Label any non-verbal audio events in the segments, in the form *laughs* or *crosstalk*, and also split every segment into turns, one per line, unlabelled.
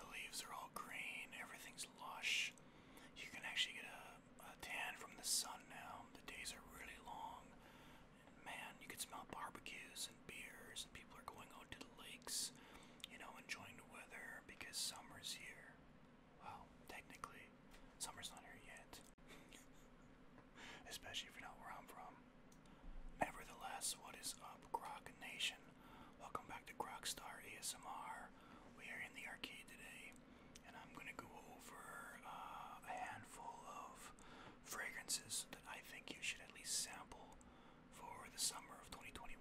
The leaves are all green, everything's lush. You can actually get a, tan from the sun now. The days are really long. And man, you can smell barbecues and beers, and people are going out to the lakes, you know, enjoying the weather because summer's here. Well, technically, summer's not here yet. *laughs* *laughs* especially if you're not where I'm from. Nevertheless, what is up, Grok Nation? Welcome back to Grokstar ASMR. We are in the arcade today, and I'm going to go over uh, a handful of fragrances that I think you should at least sample for the summer of 2021.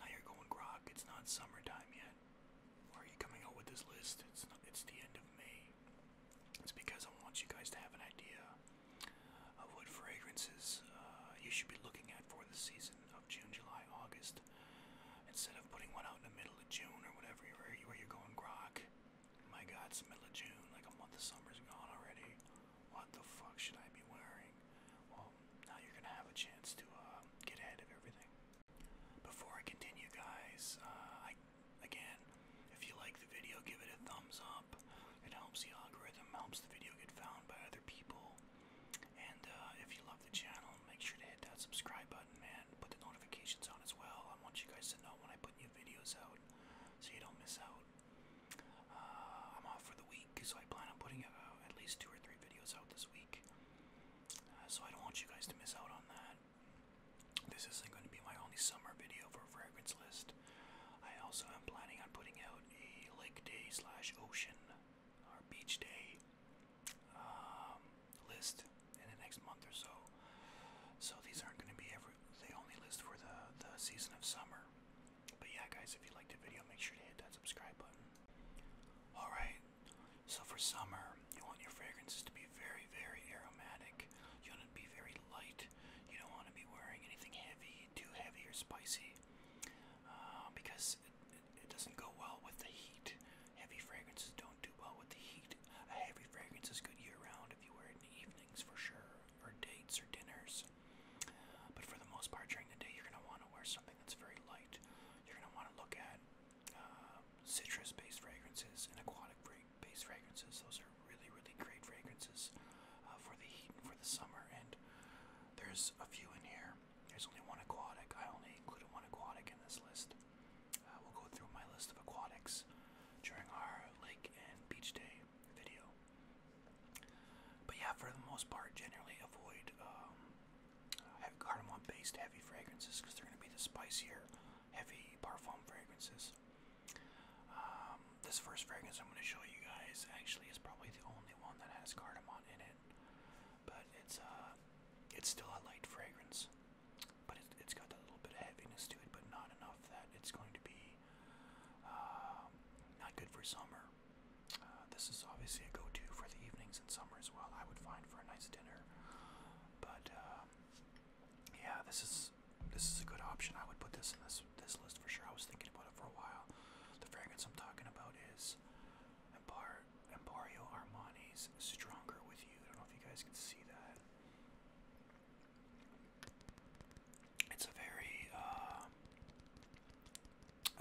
Now you're going, Grok, it's not summertime yet. are you coming out with this list? It's, not, it's the end of May. It's because I want you guys to have an idea of what fragrances uh, you should be looking at for the season of June, July, August. Instead of putting one out in the middle of June or whatever, where, you, are going grok. My God, it's middle of June, like a month of summer's gone already. What the fuck should I be wearing? Well, now you're gonna have a chance to uh, get ahead of everything. Before I continue, guys, uh, I Again, if you like the video, give it a thumbs up. It helps the algorithm, helps the video get found by other people. And uh, if you love the channel, make sure to hit that subscribe button, and Put the notifications on as well. I want you guys to know when I put new videos out so you don't miss out. Uh, I'm off for the week, so I plan on putting uh, at least two or three videos out this week. so I don't want you guys to miss out on that. This isn't going to be my only summer video for Fragrance List. I also am planning on putting out a lake day slash ocean or beach day um, list in the next month or so. So these aren't going to be every, they only list for the, the season of summer. But yeah, guys, if you liked the video, make sure to hit that subscribe button. Alright, so for summer, you want your fragrances to be very, very aromatic. You want it to be very light light. You don't want to be wearing anything heavy, too heavy or spicy, uh, because it, it, it doesn't go well with the heat. Heavy fragrances don't do well with the heat. A heavy fragrance is good year round if you wear it in the evenings for sure, or dates or dinners. But for the most part, during the day, you're going to want to wear something that's very light. You're going to want to look at uh, citrus based fragrances and aquatic fragrances base fragrances. Those are really, really great fragrances uh, for the heat for the summer. And there's a few in here. There's only one aquatic. I only included one aquatic in this list. Uh, we'll go through my list of aquatics during our lake and beach day video. But yeah, for the most part, generally avoid um, cardamom-based heavy fragrances because they're going to be the spicier, heavy parfum fragrances. Um, this first fragrance I'm going to show you guys actually is probably the only one that has cardamom in it, but it's uh, it's still a light fragrance, but it, it's got a little bit of heaviness to it, but not enough that it's going to be um, not good for summer. Uh, this is obviously a go-to for the evenings in summer as well. I would find for a nice dinner, but uh, yeah, this is this is a good option. I would put this in this this list for sure. I was thinking about it for a while. The fragrance I'm talking about is Empar Emporio Armani's Stronger With You. I don't know if you guys can see that. It's a very uh,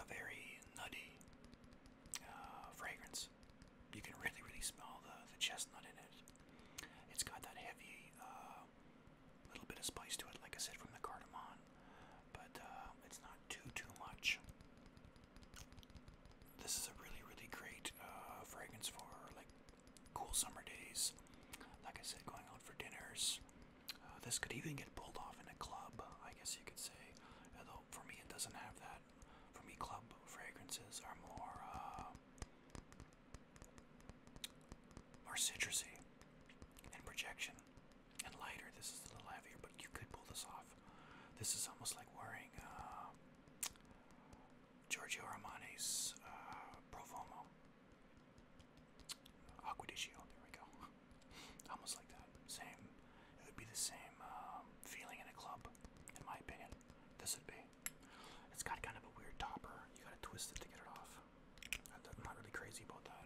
a very nutty uh, fragrance. You can really really smell the the chestnut in it. It's got that heavy uh, a little bit of spice to it, like I said, from the cardamom, but uh, it's not too, too much. This is a really, really great uh, fragrance for like cool summer days. Like I said, going out for dinners. Uh, this could even get pulled off in a club, I guess you could say. Although for me, it doesn't have that. For me, club fragrances are more uh, more citrusy and projection and lighter. This is a little heavier, but you could pull this off. This is almost like wearing uh, Giorgio Armani's uh, Profumo Acquadiccio. There we go. *laughs* almost like that. Same. It would be the same um, feeling in a club, in my opinion. This would be. It's got kind of a weird topper. You gotta twist it to get it off. I'm not really crazy about that.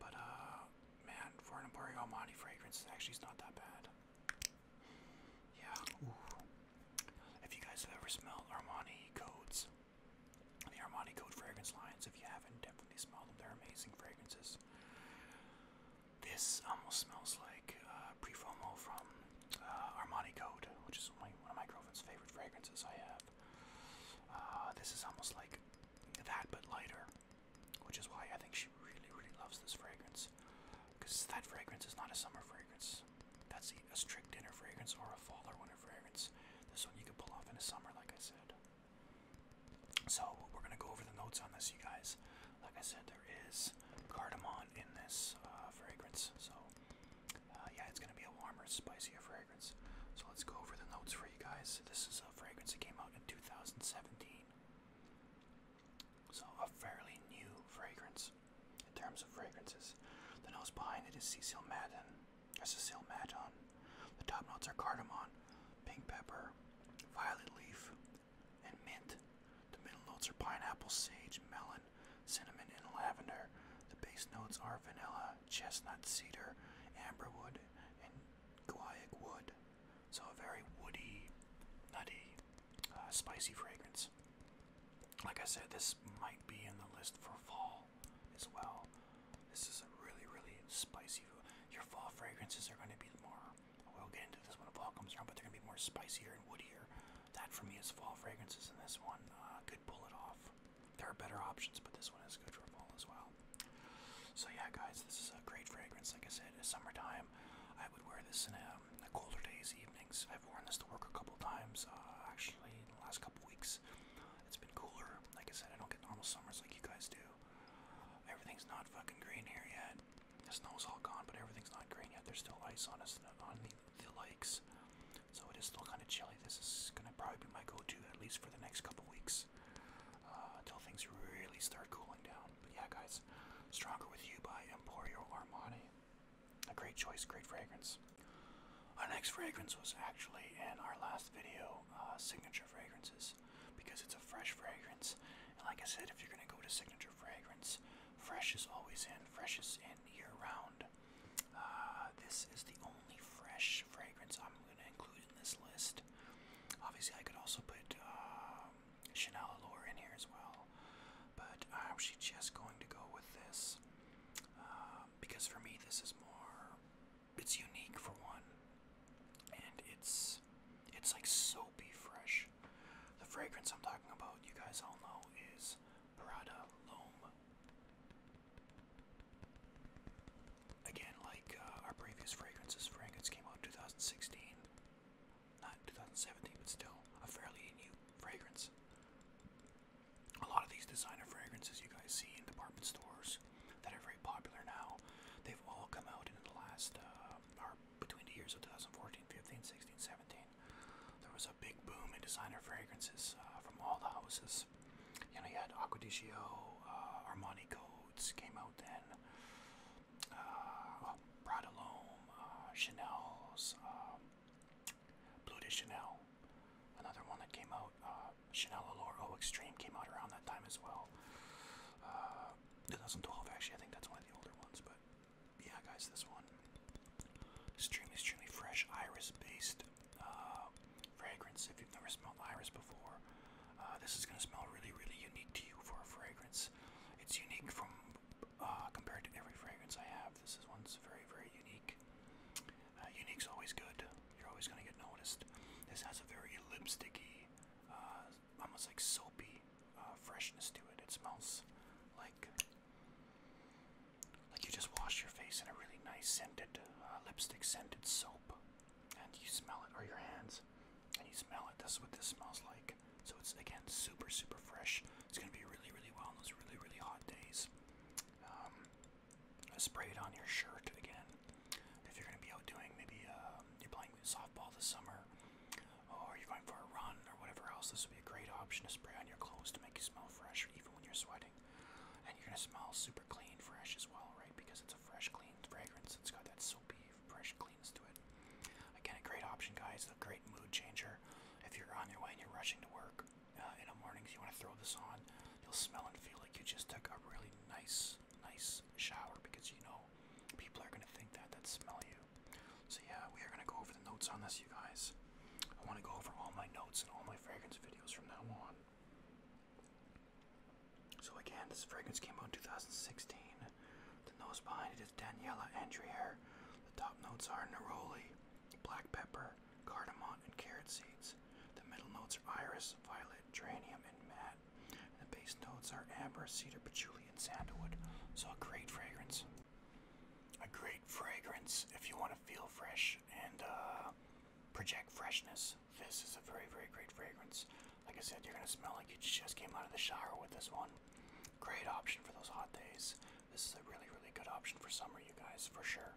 But uh, man, for an Emporio Almani fragrance, actually, it's not that bad. Yeah. If you guys have ever smelled Armani codes, the Armani Code fragrance lines, if you haven't, definitely smell them. They're amazing fragrances. This almost smells like uh, Prefomo from uh, Armani Code, which is one of my girlfriend's favorite fragrances I have. Ah, this is almost like that but lighter, which is why I think she really, really loves this fragrance. Because that fragrance is not a summer fragrance. That's a, strict dinner fragrance or a fall or winter fragrance. This one you can pull off in the summer, like I said. So we're gonna go over the notes on this, you guys. Like I said, there is cardamom in this uh, fragrance, so uh, yeah, it's gonna be a warmer, spicier fragrance. So let's go over the notes for you guys. This is a fragrance that came out in 2017. So a fairly new fragrance in terms of fragrances. The nose behind it is Cecil Madden, or Cecil Madon. The top notes are cardamom, pink pepper, violet leaf, and mint. The middle notes are pineapple, sage, melon, cinnamon, and lavender. The base notes are vanilla, chestnut, cedar, amberwood, and guaiac wood. So a very woody, nutty, uh, spicy fragrance. Like I said, this might be in the list for fall as well. This is a really, really spicy. Your fall fragrances are going to be more. We'll get into this when fall comes around, but they're going to be more spicier and woodier. That for me is fall fragrances, and this one uh, could pull it off there are better options, but this one is good for fall as well. So yeah, guys, this is a great fragrance. Like I said, in summertime. I would wear this in a, um, colder days, evenings. I've worn this to work a couple times, uh, actually, in the last couple weeks. It's been cooler. Like I said, I don't get normal summers like you guys do. Everything's not fucking green here yet. The snow's all gone, but everything's not green yet. There's still ice on us on the the lakes. So it is still kind of chilly. This is going to probably be my go-to at least for the next couple weeks until uh, things really start cooling down. But yeah, guys, Stronger With You by Emporio Armani. A great choice, great fragrance. Our next fragrance was actually in our last video, uh, Signature Fragrances, because it's a fresh fragrance. And like I said, if you're going to go to Signature Fragrance, fresh is always in. Fresh is in year-round. Uh, this is the only fresh fragrance I'm going to include in this list. Obviously, I could also put uh, Chanel Allure in here as well, but I'm actually just going to go with this um, because for me, this is more. It's unique for one, and it's it's like soapy fresh. The fragrance I'm talking about, you guys all know, is Prada Loam. Again, like uh, our previous fragrances, fragrance came out in 2016. Not 2017, but still a fairly new fragrance. A lot of these designer fragrances you guys see in department stores that are very popular now, they've all come out in the last, uh, or between the years of 2014, 15, 16, 17. There was a big boom in designer fragrances uh, from all the houses you know you had Acquadiccio, uh, Armani coats came out then, uh, Prada L'Homme, uh, Chanel's, Blue de Chanel, another one that came out, Chanel Allure O Extreme came out around that time as well. Uh, 2012 actually, I think that's one of the older ones, but yeah, guys, this one extremely, extremely fresh iris-based fragrance if you've never smelled iris before. Uh, this is going to smell really, really unique to you for a fragrance. It's unique from uh, compared to every fragrance I have. This is one's very, very unique. Uh, unique's always good. You're always going to get noticed. This has a very lipsticky, almost like soapy freshness to it. It smells like like you just wash your face in a really nice scented, uh, lipstick scented soap, and you smell it, or your hands, and you smell it. That's what this smells like. So it's again super, super fresh. It's gonna be really, really well on those really, really hot days. Um, spray it on your shirt again. If you're gonna be out doing maybe um, you're playing softball this summer, or you're going for a run or whatever else, this would be a great option to spray on your clothes to make you smell fresh, even when you're sweating. And you're gonna smell super clean, fresh as well, right? Because it's a fresh, clean fragrance. It's got that soapy, fresh cleans to it. Again, a great option, guys. A great mood changer. If you're on your way and you're rushing to work uh, in the mornings, you want to throw this on. You'll smell and feel like you just took a really nice, nice shower because you know people are going to think that that smell you. So yeah, we are going to go over the notes on this, you guys. I want to go over all my notes and all my fragrance videos from now on. So again, this fragrance came out in 2016. The nose behind it is Daniela Andriere. The top notes are neroli, black pepper, cardamom, and carrot seeds. The middle notes are iris, violet, geranium, and mat. And the base notes are amber, cedar, patchouli, and sandalwood. So a great fragrance. A great fragrance if you want to feel fresh and uh, project freshness. This is a very, very great fragrance. Like I said, you're gonna smell like you just came out of the shower with this one. Great option for those hot days. This is a really, really good option for summer, you guys, for sure.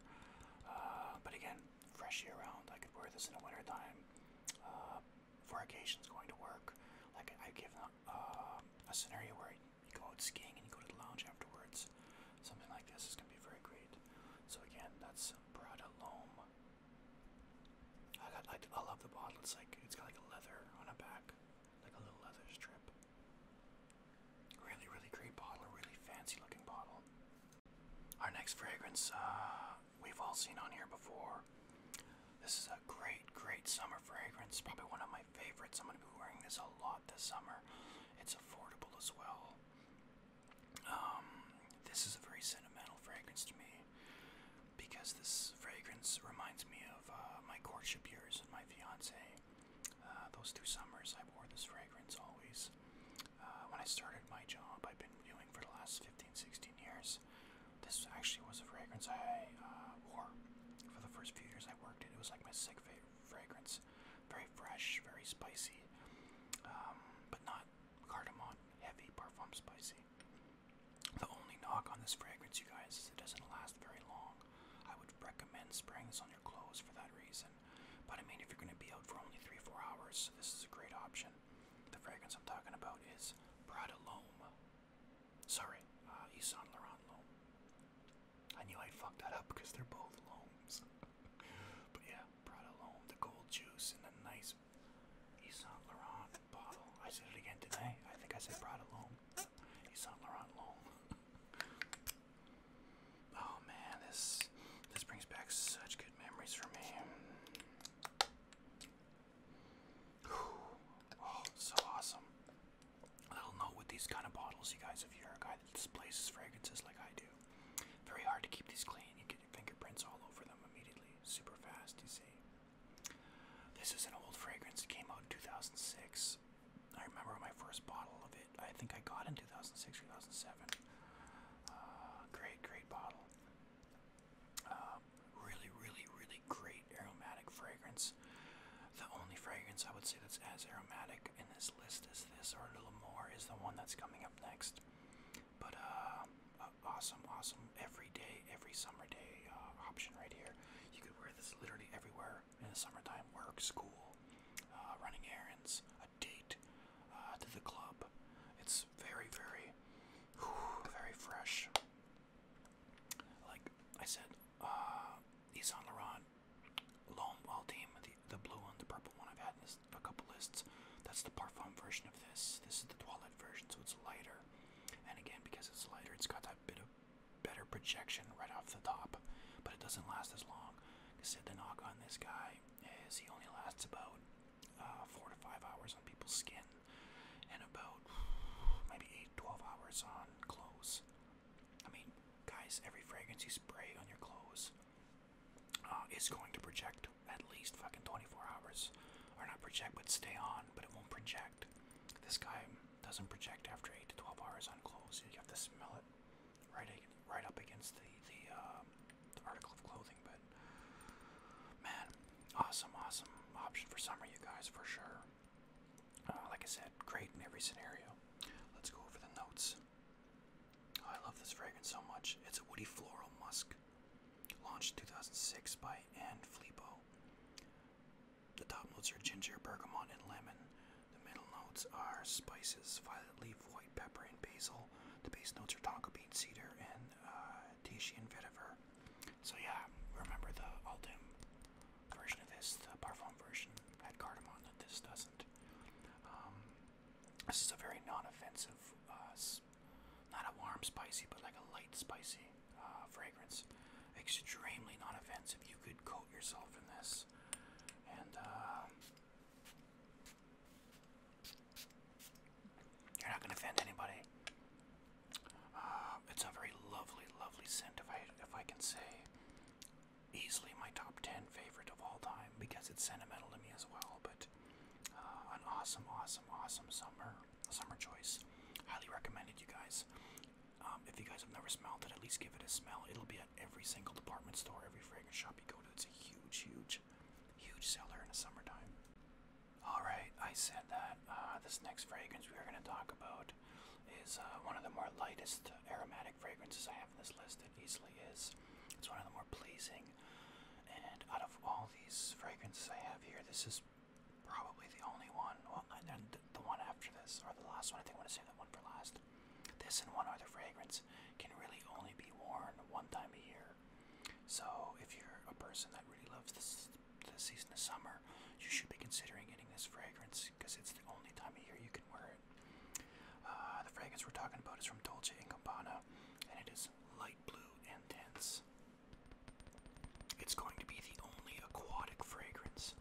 Uh, but again, fresh year round. I could wear this in the winter time uh, for occasions going to work. Like i give given uh, a scenario where you go out skiing and you go to the lounge afterwards. Something like this is going to be very great. So again, that's Prada Loam. I got, I, I love the bottle. It's like it's got like a leather on a back, like a little leather strip. Really, really great bottle. Really fancy looking bottle. Our next fragrance uh, we've all seen on here before. This is a great, great summer fragrance. Probably one of my favorites. I'm going to be wearing this a lot this summer. It's affordable as well. Um, this is a very sentimental fragrance to me because this fragrance reminds me of uh, my courtship years and my fiance. Uh, those two summers, I wore this fragrance always. Uh, when I started my job, I've been reviewing for the last 15, 16 years. This actually was a fragrance I wore for the first few years I worked it. It was like my sick favorite fragrance. Very fresh, very spicy, um, but not cardamom heavy parfum spicy. The only knock on this fragrance, you guys, is it doesn't last very long. I would recommend spraying this on your clothes for that reason. But I mean, if you're going to be out for only three, four hours, this is a great option. The fragrance I'm talking about is Prada Loam. Sorry, uh, Yves Saint Laurent Loam. I knew I'd that up because they're both loams. *laughs* but yeah, brought along the cold juice in a nice Yves Saint Laurent bottle. I said it again today. I think I said Prada, alone Yves Saint Laurent *laughs* oh man, this this brings back such good memories for me. Oh, so awesome. little note with these kind of bottles, you guys, if you're a guy that displays fragrances like I do, very hard to keep these clean. You get your fingerprints all over them immediately, super fast, you see. This is an old fragrance. It came out in 2006. I remember my first bottle of it. I think I got in 2006 2007. Uh, great, great bottle. Um, really, really, really great aromatic fragrance. The only fragrance I would say that's as aromatic in this list as this, or a little more, is the one that's coming up next. But uh, awesome, awesome every day, every summer day uh, option right here. You could wear this literally everywhere in the summertime: work, school, uh, running errands, a date, uh, to the club. It's very, very, very fresh. Like I said, uh, Yves Saint Laurent, L'Homme the, blue one, the purple one I've had a couple lists. That's the parfum version of this. This is the toilet version, so it's lighter. And again, because it's lighter, it's got that bit of better projection right off the top, but it doesn't last as long. Because the knock on this guy is he only lasts about uh, four to five hours on people's skin, and about maybe eight, to 12 hours on clothes. I mean, guys, every fragrance you spray on your clothes uh, it's going to project at least fucking 24 hours. Or not project, but stay on, but it won't project. This guy doesn't project after 8 to 12 hours on clothes. You have to smell it right, right up against the, the, uh, article of clothing. But man, awesome, awesome option for summer, you guys, for sure. Uh, like I said, great in every scenario. Let's go over the notes. Oh, I love this fragrance so much. It's a woody floral musk, launched 2006 by Anne Flebo. The top notes are ginger, bergamot, and lemon. The middle notes are spices, violet leaf, white pepper, and basil. The base notes are tonka bean, cedar, and uh, Tahitian vetiver. So yeah, remember the Aldim version of this, the Parfum version had cardamom that this doesn't. Um, this is a very non-offensive, uh, not a warm spicy, but like a light spicy uh, fragrance. Extremely non-offensive. You could coat yourself in this, and uh, you're not gonna offend anybody. Uh, it's a very lovely, lovely scent. If I, if I can say, easily my top ten favorite of all time because it's sentimental to me as well. But uh, an awesome, awesome, awesome summer summer choice. Highly recommended, you guys. Um, if you guys have never smelled it, at least give it a smell. It'll be at every single department store, every fragrance shop you go to. It's a huge, huge, huge seller in the summertime. Alright, I said that uh, this next fragrance we are going to talk about is uh, one of the more lightest aromatic fragrances I have in this list it easily is. It's one of the more pleasing. And out of all these fragrances I have here, this is probably the only one. Well, and then the one after this, or the last one. I think I want to save that one for last. This and one other fragrance can really only be worn one time a year. So if you're a person that really loves this the season of summer, you should be considering getting this fragrance because it's the only time of year you can wear it. Uh, the fragrance we're talking about is from Dolce & Gabbana, and it is light blue and tense. It's going to be the only aquatic fragrance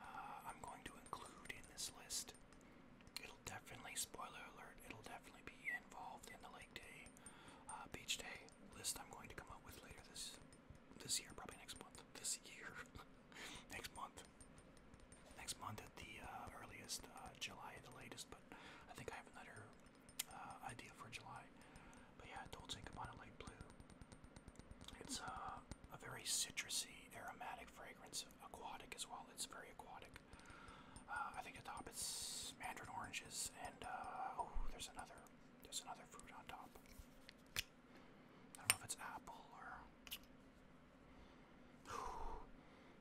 uh, I'm going to include in this list. It'll definitely, spoiler alert, it'll definitely be involved in the Lake Day, uh, Beach Day list I'm going to come up with later this this year, probably next month. This year, *laughs* next month, next month at the earliest, July at the latest. but. I think I have another uh, idea for July. But yeah, Dolce & Gabbana Light Blue. It's uh, a very citrusy, aromatic fragrance, aquatic as well. It's very aquatic. Uh, I think atop it's mandarin oranges and oh, there's another, there's another fruit on top. I don't know if it's apple or. *sighs*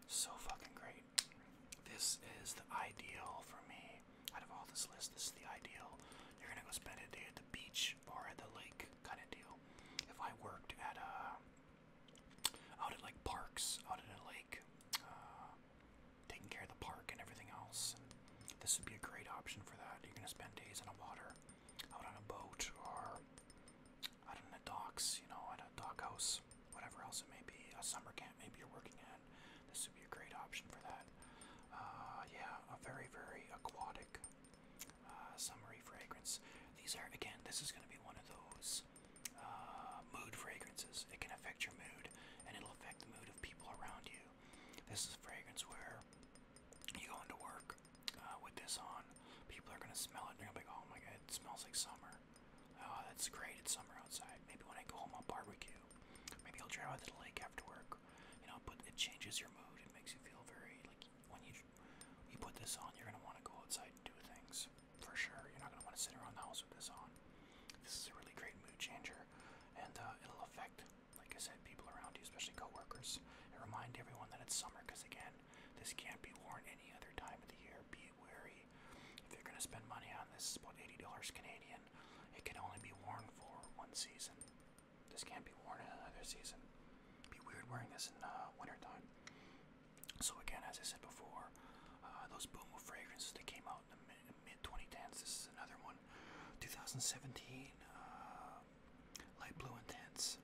so fucking great. This is the ideal for me. Out of all this list, this is the ideal. You're gonna go spend a day at the beach or at the lake, kind of deal. If I worked at a uh, out at like parks, out in a lake, uh, taking care of the park and everything else, this would be a great option for that. You're gonna spend days in the water, out on a boat, or out in the docks, you know, at a dock house, whatever else it may be, a summer camp maybe you're working at. This would be a great option for that. Uh, yeah, a very, very aquatic uh, summery fragrance. These are, again, this is going to be one of those uh, mood fragrances. It can affect your mood and it'll affect the mood of people around you. This is a fragrance where you go into work uh, with this on, people are going to smell it and they're going to be like, oh my god, it smells like summer. Oh, that's great. It's summer outside. Maybe when I go home, I'll barbecue. Maybe I'll drive out to the lake after work. You know, but it changes your mood. It makes you feel very like when you you put this on, you're gonna want to go outside and do things for sure. You're not gonna want to sit around the house with this on. This is a really great mood changer, and uh, it'll affect, like I said, people around you, especially coworkers. And remind everyone that it's summer, because again, this can't be worn any other time of the year. Be wary if you're going to spend money on this, it's about $80 Canadian. It can only be worn for one season. This can't be worn in another season. be weird wearing this in uh, wintertime. So again, as I said before, uh, those Boomo fragrances that came out in the mid-2010s, this is another one. 2017, uh, light blue intense.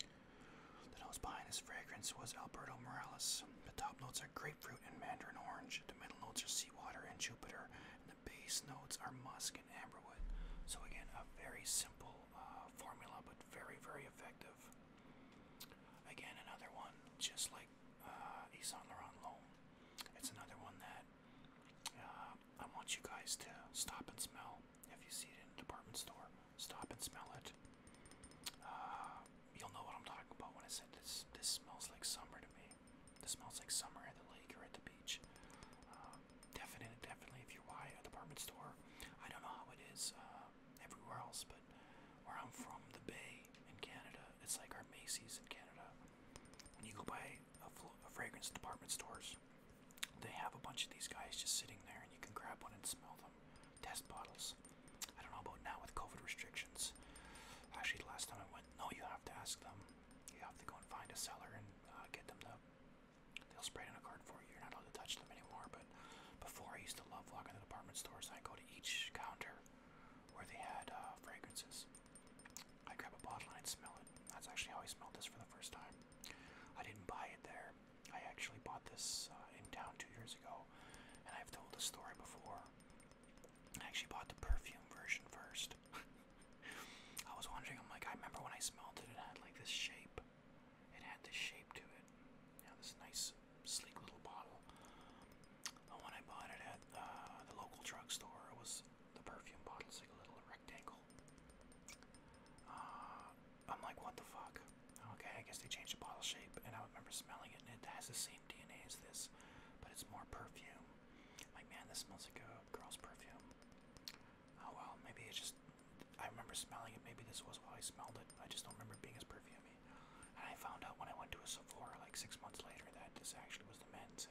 The nose behind this fragrance was Alberto Morales. The top notes are grapefruit and mandarin orange. The middle notes are seawater and Jupiter. And the base notes are musk and amberwood. So again, a very simple uh, formula, but very, very effective. Again, another one, just like uh, Laurent Loam. It's another one that uh, I want you guys to stop and smell. If you see it in a department store, stop and smell it. Uh, you'll know what I'm talking about when I said this. This smells like summer to me. This smells like summer at the lake or at the beach. Uh, um, definitely, definitely. If you're by a department store, I don't know how it is uh, everywhere else, but where I'm from, the Bay in Canada, it's like our Macy's in Canada. When you go by a, a fragrance department stores, they have a bunch of these guys just sitting there, and you can grab one and smell them test bottles. I don't know about now with COVID restrictions. Actually, the last time I went, no, you have to ask them. You have to go and find a seller and uh, get them to. They'll spray it on a card for you. You're not allowed to touch them anymore. But before, I used to love walking the department stores. I would go to each counter where they had uh, fragrances. I grab a bottle and I'd smell it. That's actually how I smelled this for the first time. I didn't buy it there. I actually bought this uh, in town two years ago, and I've told the story before. I actually bought the perfume version first. *laughs* I was wondering, I'm like, I remember when I smelled it, it had like this shape. It had this shape to it. Yeah, this nice, sleek little bottle. The one I bought it at uh, the local drugstore it was the perfume bottle. It's like a little rectangle. Uh, I'm like, what the fuck? Okay, I guess they changed the bottle shape, and I remember smelling it, and it has the same DNA as this, but it's more perfume. Like, man, this smells like a girl's perfume. Oh well, maybe it's just. I remember smelling it. Maybe this was why I smelled it. I just don't remember it being as perfumey. And I found out when I went to a Sephora like six months later that this actually was the men's,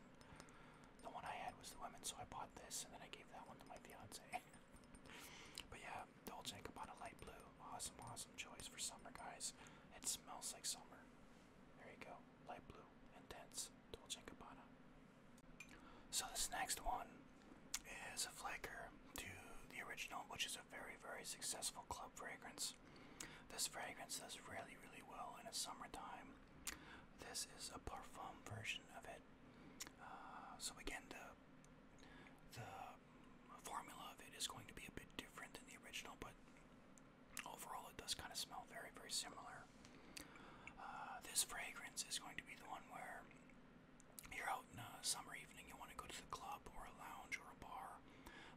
and the one I had was the women's. So I bought this, and then I gave that one to my fiance. *laughs* but yeah, Dolce & Gabbana light blue. Awesome, awesome choice for summer, guys. It smells like summer. There you go. Light blue, intense, Dolce & Gabbana. So this next one is a flaker to the original, which is a very, very successful club fragrance. This fragrance does really, really well in the summertime. This is a parfum version of it. Uh, so again, the the formula of it is going to be a bit different than the original, but overall it does kind of smell very, very similar. Uh, this fragrance is going to be the one where you're out in a summer evening, you want to go to the club or a lounge or a bar.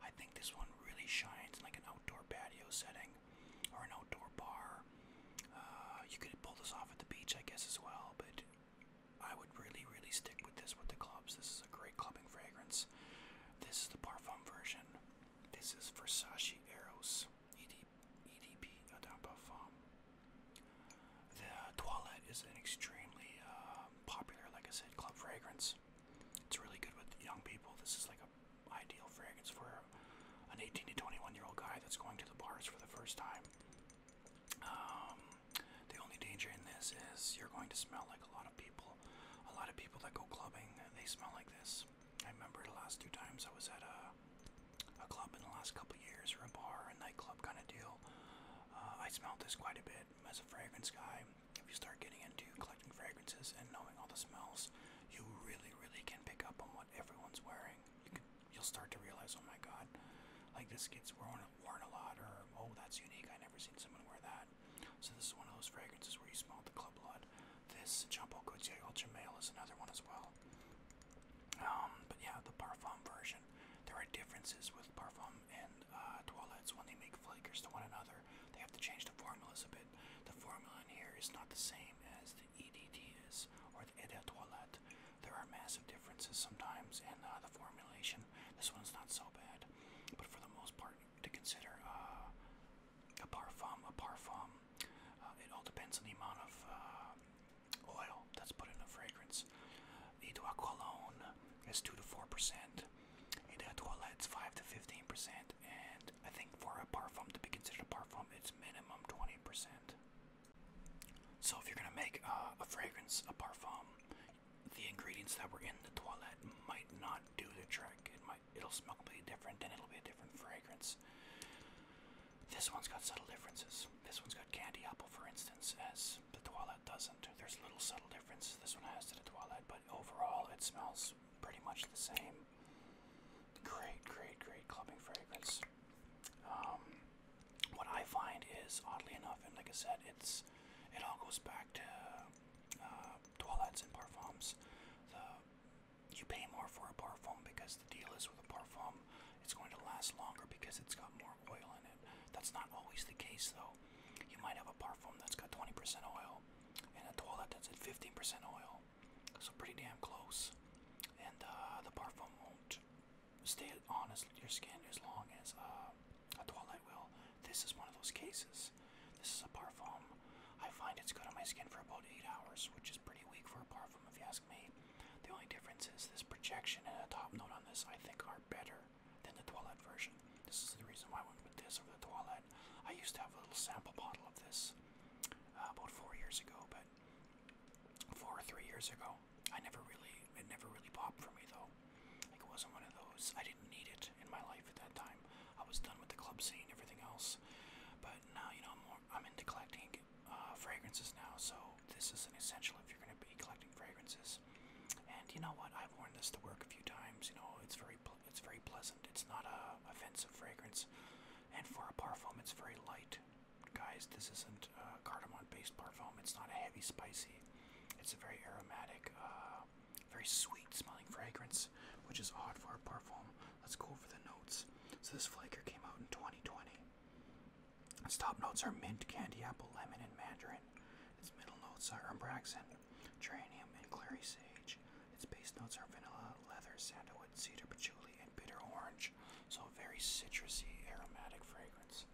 I think this one really shines in like an outdoor patio setting or an outdoor bar. Uh, you could pull this off at the beach, I guess, as well, but I would really, really stick with this with the clubs. This is a great clubbing fragrance. This is the Parfum version. This is Versace Eros ED, EDP Adam Parfum. The toilet is an extremely uh, popular, like I said, club fragrance. It's really good with young people. This is like a ideal fragrance for an 18 to 21 year old guy that's going to the bars for the first time. Um, the only danger in this is you're going to smell like a lot of people smell. A lot of people that go clubbing, they smell like this. I remember the last two times I was at a a club in the last couple years, or a bar, a nightclub kind of deal. Uh, I smelled this quite a bit as a fragrance guy. If you start getting into collecting fragrances and knowing all the smells, you really, really can pick up on what everyone's wearing. You can, you'll start to realize, oh my god, like this gets worn, worn a lot, or oh that's unique. I never seen someone wear that. So this is one of those fragrances where you smell the club blood. This Jumbo Gautier Ultra Male is another one as well. Um, but yeah, the Parfum version. There are differences with Parfum and uh, Toilettes when they make flakers to one another. They have to change the formulas a bit. The formula in here is not the same as the EDT is or the de Toilette. There are massive differences sometimes in uh, the formulation. This one's not so bad, but for the most part, to consider uh, a parfum, a parfum. Uh, it all depends on the amount of uh, oil that's put in the fragrance. The de cologne is 2 to 4%, et de toilette's 5 to 15%, and I think for a parfum to be considered a parfum, it's minimum 20%. So if you're gonna make a fragrance, a parfum, the ingredients that were in the toilet might not do the trick. It might it'll smell completely different and it'll be a different fragrance. This one's got subtle differences. This one's got candy apple, for instance, as the toilet doesn't. There's little subtle differences this one has to the toilet, but overall it smells pretty much the same. Great, great, great clubbing fragrance. Um, what I find is oddly enough, and like I said, it's it all goes back to uh, toilettes and parfums, the, you pay more for a parfum because the deal is with a parfum, it's going to last longer because it's got more oil in it. That's not always the case though. You might have a parfum that's got 20% oil and a toilet that's at 15% oil. So pretty damn close. And uh, the parfum won't stay on as, your skin as long as uh, a Twilight Will. This is one of those cases. This is a parfum. I find it's good on my skin for about 8 hours, which is pretty weak for a parfum if you ask me. The only difference is this projection and a top note on this I think are better than the toilet version. This is the reason why I went with this over the toilet. I used to have a little sample bottle of this uh, about 4 years ago, but 4 or 3 years ago. I never really, it never really popped for me though it wasn't one of those. I didn't need it in my life at that time. I was done with the club scene, everything else. But now, you know, I'm, more, I'm into collecting uh, fragrances now, so this is an essential if you're going to be collecting fragrances. And you know what? I've worn this to work a few times. You know, it's very it's very pleasant. It's not a offensive fragrance, and for a parfum, it's very light. Guys, this isn't a cardamom-based parfum. It's not a heavy spicy. It's a very aromatic. Uh, very sweet smelling fragrance, which is odd for a perfume. Let's go over the notes. So this flaker came out in 2020. Its top notes are mint, candy apple, lemon, and mandarin. Its middle notes are umbraxan, geranium, and clary sage. Its base notes are vanilla, leather, sandalwood, cedar, patchouli, and bitter orange. So very citrusy, aromatic fragrance.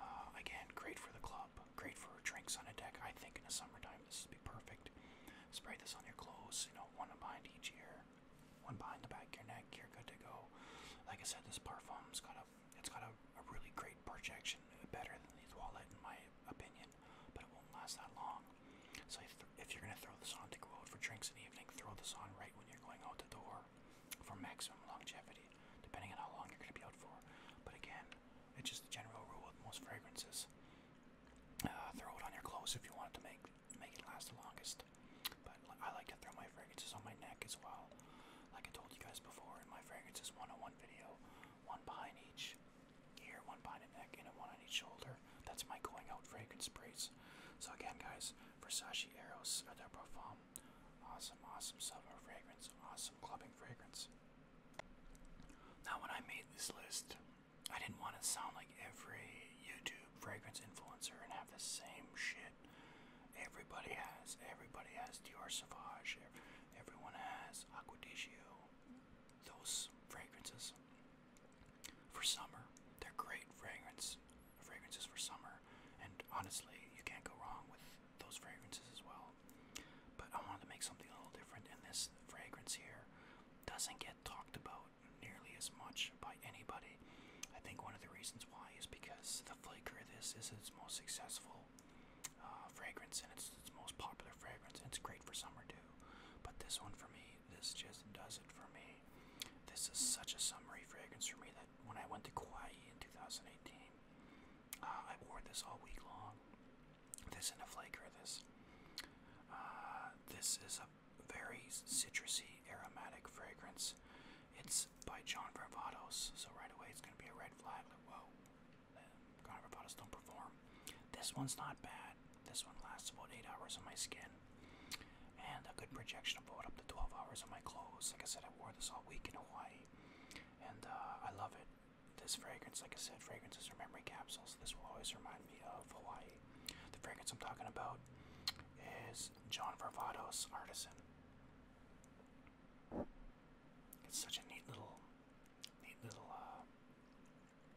Uh, again, great for the club, great for drinks on a deck. I think in the summertime this would be perfect. Spray this on your clothes, you know, one behind each ear, one behind the back of your neck. You're good to go. Like I said, this parfum's got a, it's got a, really great projection, uh, better than these wallet in my opinion, but it won't last that long. So if you're gonna throw this on to go out for drinks in the evening, throw this on right when you're going out the door for maximum longevity, depending on how long you're gonna be out for. But again, it's just the general rule with most fragrances. Uh, throw it on your clothes if you want to make make it last the longest. But I like to throw my fragrances on my neck as well. Like I told you guys before in my fragrances 101 video, one behind each ear, one behind the neck, and one on each shoulder. That's my going out fragrance sprays. So again, guys, Versace Eros Eau de Parfum, awesome, awesome summer fragrance, awesome clubbing fragrance. Now, when I made this list, I didn't want to sound like every YouTube fragrance influencer and have the same shit. Everybody has. Everybody has Dior Sauvage. Everyone has Aqua Those fragrances for summer. They're great fragrance fragrances for summer, and honestly, you can't go wrong with those fragrances as well. But I wanted to make something a little different, and this fragrance here doesn't get talked about nearly as much by anybody. I think one of the reasons why is because the flaker of this is its most successful uh, fragrance and it's its most popular fragrance. And it's great for summer too, but this one for me, this just does it for me. This is such a summery fragrance for me that when I went to Kauai in 2018, uh, I wore this all week long this in a flake or this. Uh, this is a very citrusy aromatic fragrance. It's by John Varvatos, so right away it's going to be a red flag. Like, whoa, John Varvatos don't perform. This one's not bad. This one lasts about 8 hours on my skin. And a good projection of about up to 12 hours on my clothes. Like I said, I wore this all week in Hawaii. And uh, I love it. This fragrance, like I said, fragrances are memory capsules. This will always remind me of Hawaii. The fragrance I'm talking about is John Varvatos Artisan. It's such a neat little, neat little uh,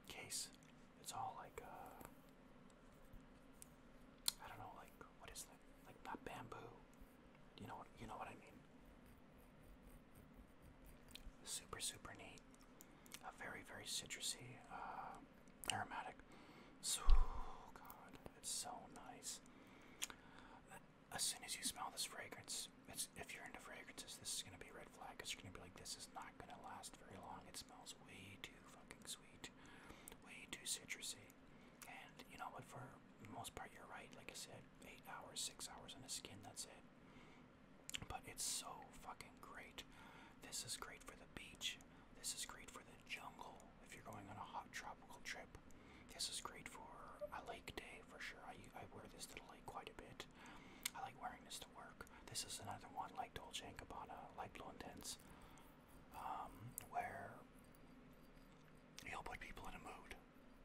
case. It's all like, uh, I don't know, like what is that? Like not bamboo. You know what? You know what I mean. Super, super neat. A very, very citrusy, uh, aromatic. oh God, it's so nice. As soon as you smell this fragrance, if you're into fragrances, this is gonna be a red flag. Cause you're gonna be like, this is not gonna last very long. It smells way too fucking sweet, way too citrusy. And you know what? For the most part, you're right. Like I said, eight hours, six hours on the skin. That's it. But it's so fucking great. This is great for the beach. This is great for the jungle if you're going on a hot tropical trip. This is great for a lake day for sure. I, I wear this to the lake quite a bit. I like wearing this to work. This is another one like Dolce & Gabbana, light Blue Intense, um, where you'll put people in a mood,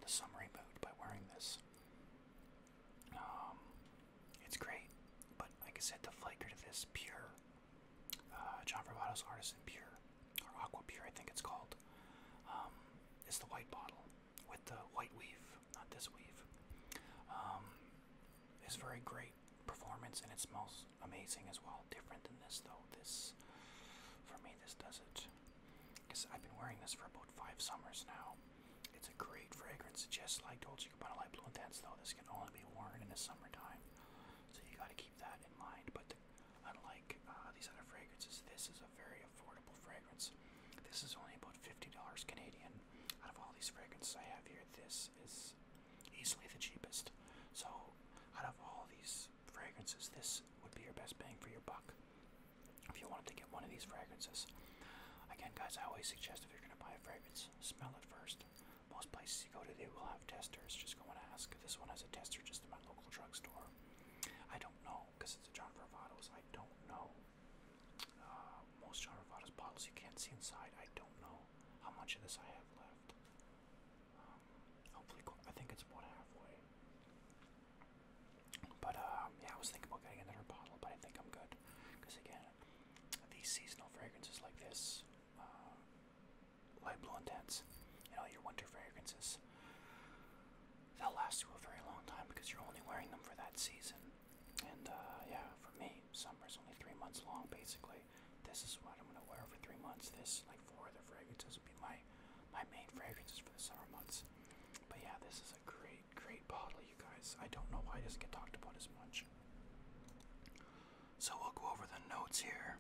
the summery mood, by wearing this. Um, it's great, but like I said, the flavor to this pure uh, John Bravato's Artisan Pure or Aqua Pure, I think it's called. Um, is the white bottle with the white weave, not this weave. Um, it's very great performance and it smells amazing as well. Different than this though. This for me, this does it because I've been wearing this for about five summers now. It's a great fragrance, just like you Dolce Gabbana Light Blue Intense, though this can only be worn in the summertime, so you got to keep that in mind. But unlike uh, these other fragrances, this is a very affordable fragrance. This is only about fifty dollars Canadian. Out of all these fragrances I have here, this is easily the cheapest. So, out of all these fragrances, this would be your best bang for your buck if you wanted to get one of these fragrances. Again, guys, I always suggest if you're going to buy a fragrance, smell it first. Most places you go to, they will have testers. Just going to ask. This one has a tester just in my local drugstore. I don't know because it's a John Varvatos. I don't know. Uh, most John Varvatos bottles you can't see inside. I don't know how much of this I have left. Um, hopefully, I think it's about halfway. But um, yeah, I was thinking about getting another bottle, but I think I'm good. Because again, these seasonal fragrances like this, uh, light blue intense, and all your winter fragrances, they'll last you a very long time because you're only wearing them for that season. And uh, yeah, for me, summer is only three months long basically. This is what I'm gonna wear for three months. This, like four other fragrances, will be my my main fragrances for the summer months. But yeah, this is a great great, great you guys. I don't know why it doesn't get talked about as much. So we'll go over the notes here.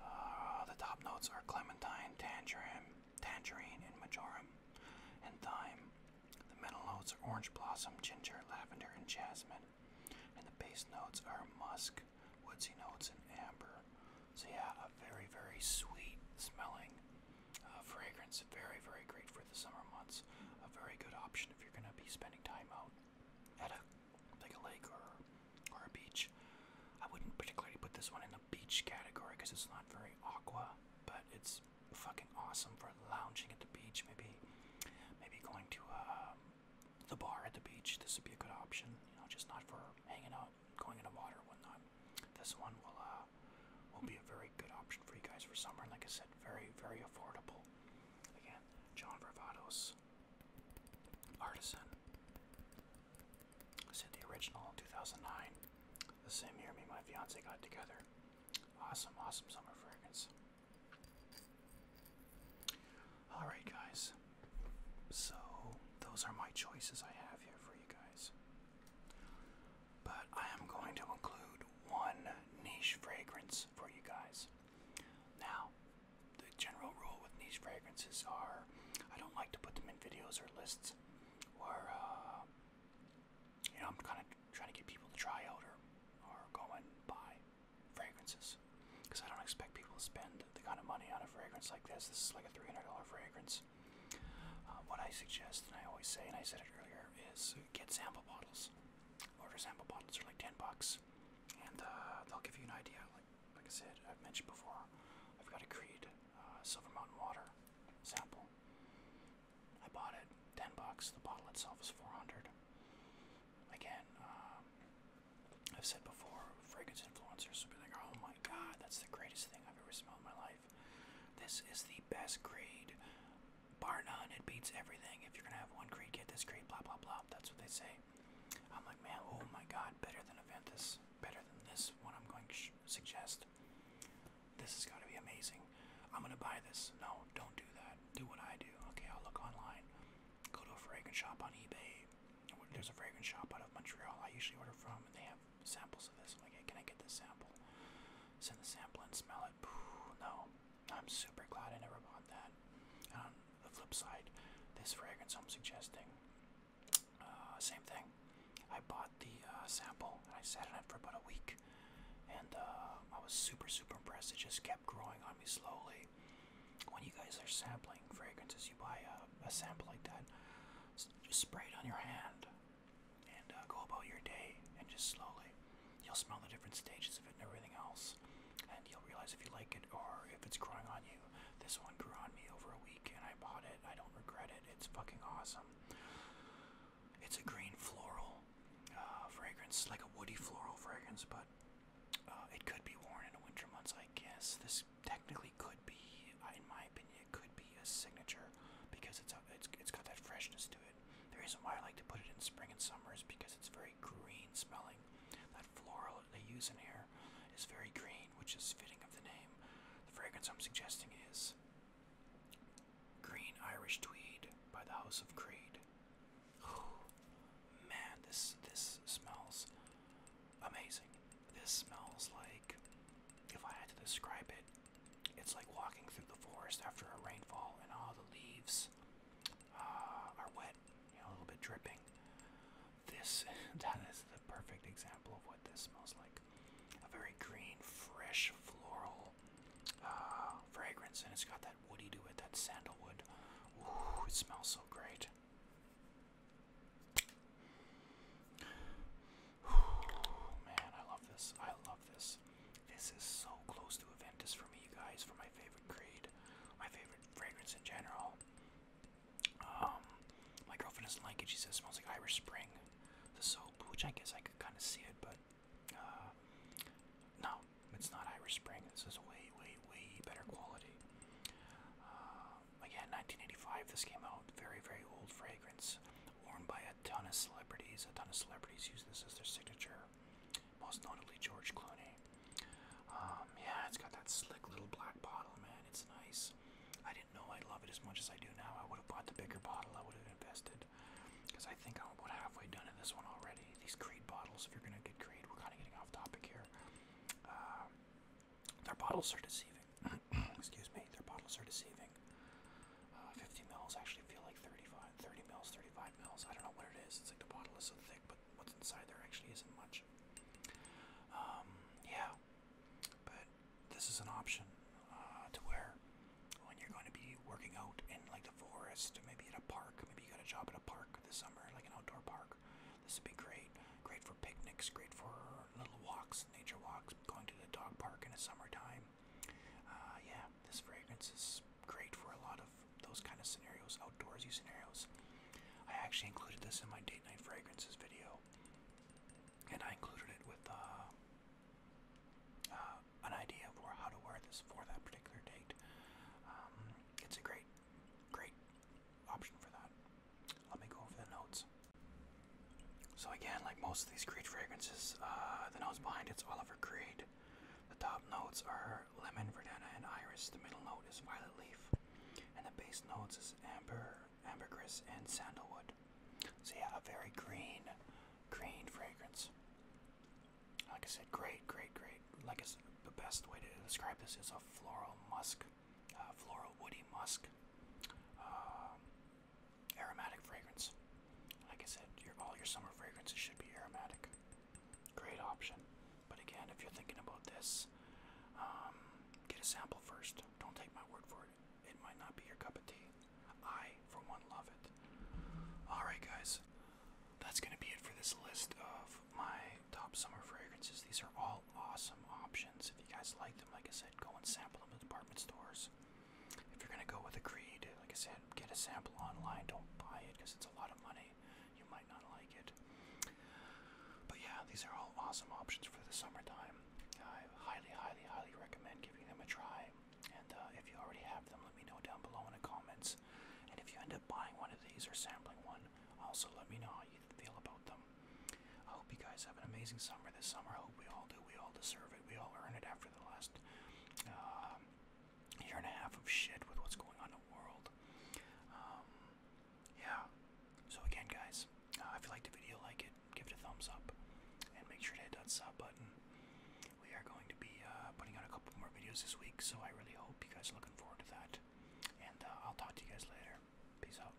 Uh, the top notes are clementine, tangerine, tangerine, and majoram, and thyme. The middle notes are orange blossom, ginger, lavender, and jasmine. And the base notes are musk, woodsy notes, and amber. So yeah, a very, very sweet smelling uh, fragrance, very, very great for the summer months. A very good option if you're going to be spending time out at a like a lake or or a beach. I wouldn't particularly put this one in the beach category because it's not very aqua, but it's fucking awesome for lounging at the beach. Maybe maybe going to uh, the bar at the beach. This would be a good option. You know, just not for hanging out, going in the water, and whatnot this one will uh, will be a very good option for you guys for summer. And like I said, very very affordable. Again, John Varvatos, Artisan. I said the original 2009. The same year me and my fiance got together. Awesome, awesome summer fragrance. Alright, guys. So, those are my choices I have here for you guys but I am going to include one niche fragrance for you guys. Now, the general rule with niche fragrances are I don't like to put them in videos or lists, or, uh, you know, I'm kind of trying to get people to try out or, or go and buy fragrances because I don't expect people to spend the kind of money on a fragrance like this. This is like a $300 fragrance. Uh, what I suggest, and I always say, and I said it earlier, is get sample bottles. Order sample bottles are like 10 bucks, and uh, they'll give you an idea. Like, I said, I've mentioned before, I've got a Creed Silver Mountain Water sample. I bought it, 10 bucks. The bottle itself is 400. Again, um, I've said before, fragrance influencers will be like, oh my god, that's the greatest thing I've ever smelled in my life. This is the best grade, bar none. It beats everything. If you're gonna have one grade, get this grade. Blah blah blah. That's what they say. I'm like, man, oh my god, better than Aventus, better than this one. I'm going to suggest. This is going to be amazing. I'm gonna buy this. No, don't do that. Do what I do. Okay, I'll look online. Go to a fragrance shop on eBay. There's a fragrance shop out of Montreal. I usually order from, and they have samples of this. I'm like, hey, can I get the sample? Send the sample and smell it. no, I'm super glad I never bought that. the flip side, this fragrance I'm suggesting, uh, same thing. I bought the uh, sample and I sat on it for about a week, and uh, I was super, super impressed. It just kept growing on me slowly. When you guys are sampling fragrances, you buy a, a sample like that, just spray it on your hand and uh, go about your day and just slowly you'll smell the different stages of it and everything else and you'll realize if you like it or if it's growing on you this one grew on me over a week and i bought it i don't regret it it's fucking awesome it's a green floral uh, fragrance like a woody floral fragrance but uh, it could be worn in the winter months i guess this technically could be uh, in my opinion it could be a signature because it's, a, it's, it's got that freshness to it the reason why I like to put it in spring and summer is because it's very green smelling. That floral they use in here is very green, which is fitting of the name. The fragrance I'm suggesting is Green Irish Tweed by the House of Creed. Oh man, this this smells amazing. This smells like if I had to describe it, it's like walking through the forest after a rainfall, and all the leaves uh, are wet, you know, a little bit dripping. This *laughs* that is the perfect example of what this smells like. A very green, fresh, floral uh, fragrance, and it's got that woody to it, that sandalwood. Ooh, it smells so great. Ooh, *sighs* man, I love this. I love this. This is so close to Aventus for me, you guys, for my favorite grade, my favorite fragrance in general. Um, my girlfriend doesn't like it. She says it smells like Irish Spring, the soap, which I guess I could kind of see it, but uh, no, it's not Irish Spring. This is way, way, way better quality. Uh, again, 1985. This came out. Very, very old fragrance, worn by a ton of celebrities. A ton of celebrities use this as their signature, most notably George Clooney. Um, yeah, it's got that slick little black bottle, man. It's nice. I didn't know I love it as much as I do now. I would have bought the bigger bottle. I would have invested because I think I'm about halfway done in this one already. These Creed bottles, if you're gonna get Creed, we're kind of getting off topic here. Um, their bottles are deceiving. *coughs* Excuse me. Their bottles are deceiving. Uh, 50 mils actually feel like 35, 30 mils, 35 mils. I don't know what it is. It's like the bottle is so thick, but what's inside there actually isn't much. Um, yeah, but this is an option uh, to wear when you're going to be working out in like the forest, maybe at a park. Maybe you got a job at a park this summer, like an outdoor park. This would be great. Great for picnics. Great for little walks, nature walks. Going to the dog park in the summertime. Uh, yeah, this fragrance is great for a lot of those kind of scenarios, outdoorsy scenarios. I actually included this in my date night fragrances video, and I included it with uh, uh an idea for how to wear this for that particular date. Um, it's a great, great option for that. Let me go over the notes. So again, like most these Creed fragrances. Uh, the nose behind it's Oliver Creed. The top notes are lemon, verdana, and iris. The middle note is violet leaf, and the base notes is amber, ambergris, and sandalwood. So yeah, a very green, green fragrance. Like I said, great, great, great. Like I said, the best way to describe this is a floral musk, uh, floral woody musk. Um, aromatic fragrance. Like I said, all your summer fragrances should be aromatic. Great option. But again, if you're thinking about this, um, get a sample first. Don't take my word for it. It might not be your cup of tea. I, for one, love it. Alright, guys. That's going to be it for this list of my top summer fragrances. These are all awesome options. If you guys like them, like I said, go and sample them at department stores. If you're gonna go with a creed, like I said, get a sample online. Don't buy it because it's a lot of money. You might not like it. But yeah, these are all awesome options for the summertime. I highly, highly, highly recommend giving them a try. And uh, if you already have them, let me know down below in the comments. And if you end up buying one of these or sampling one, also let me know how you feel about them. I hope you guys have an amazing summer this summer. I hope we all do. We all deserve it. We all earn it after the last uh, year and a half of shit with what's going on in the world. Um, yeah. So again, guys, uh, if you liked the video, like it, give it a thumbs up, and make sure to hit that sub button. We are going to be uh, putting out a couple more videos this week, so I really hope you guys are looking forward to that. And uh, I'll talk to you guys later. Peace out.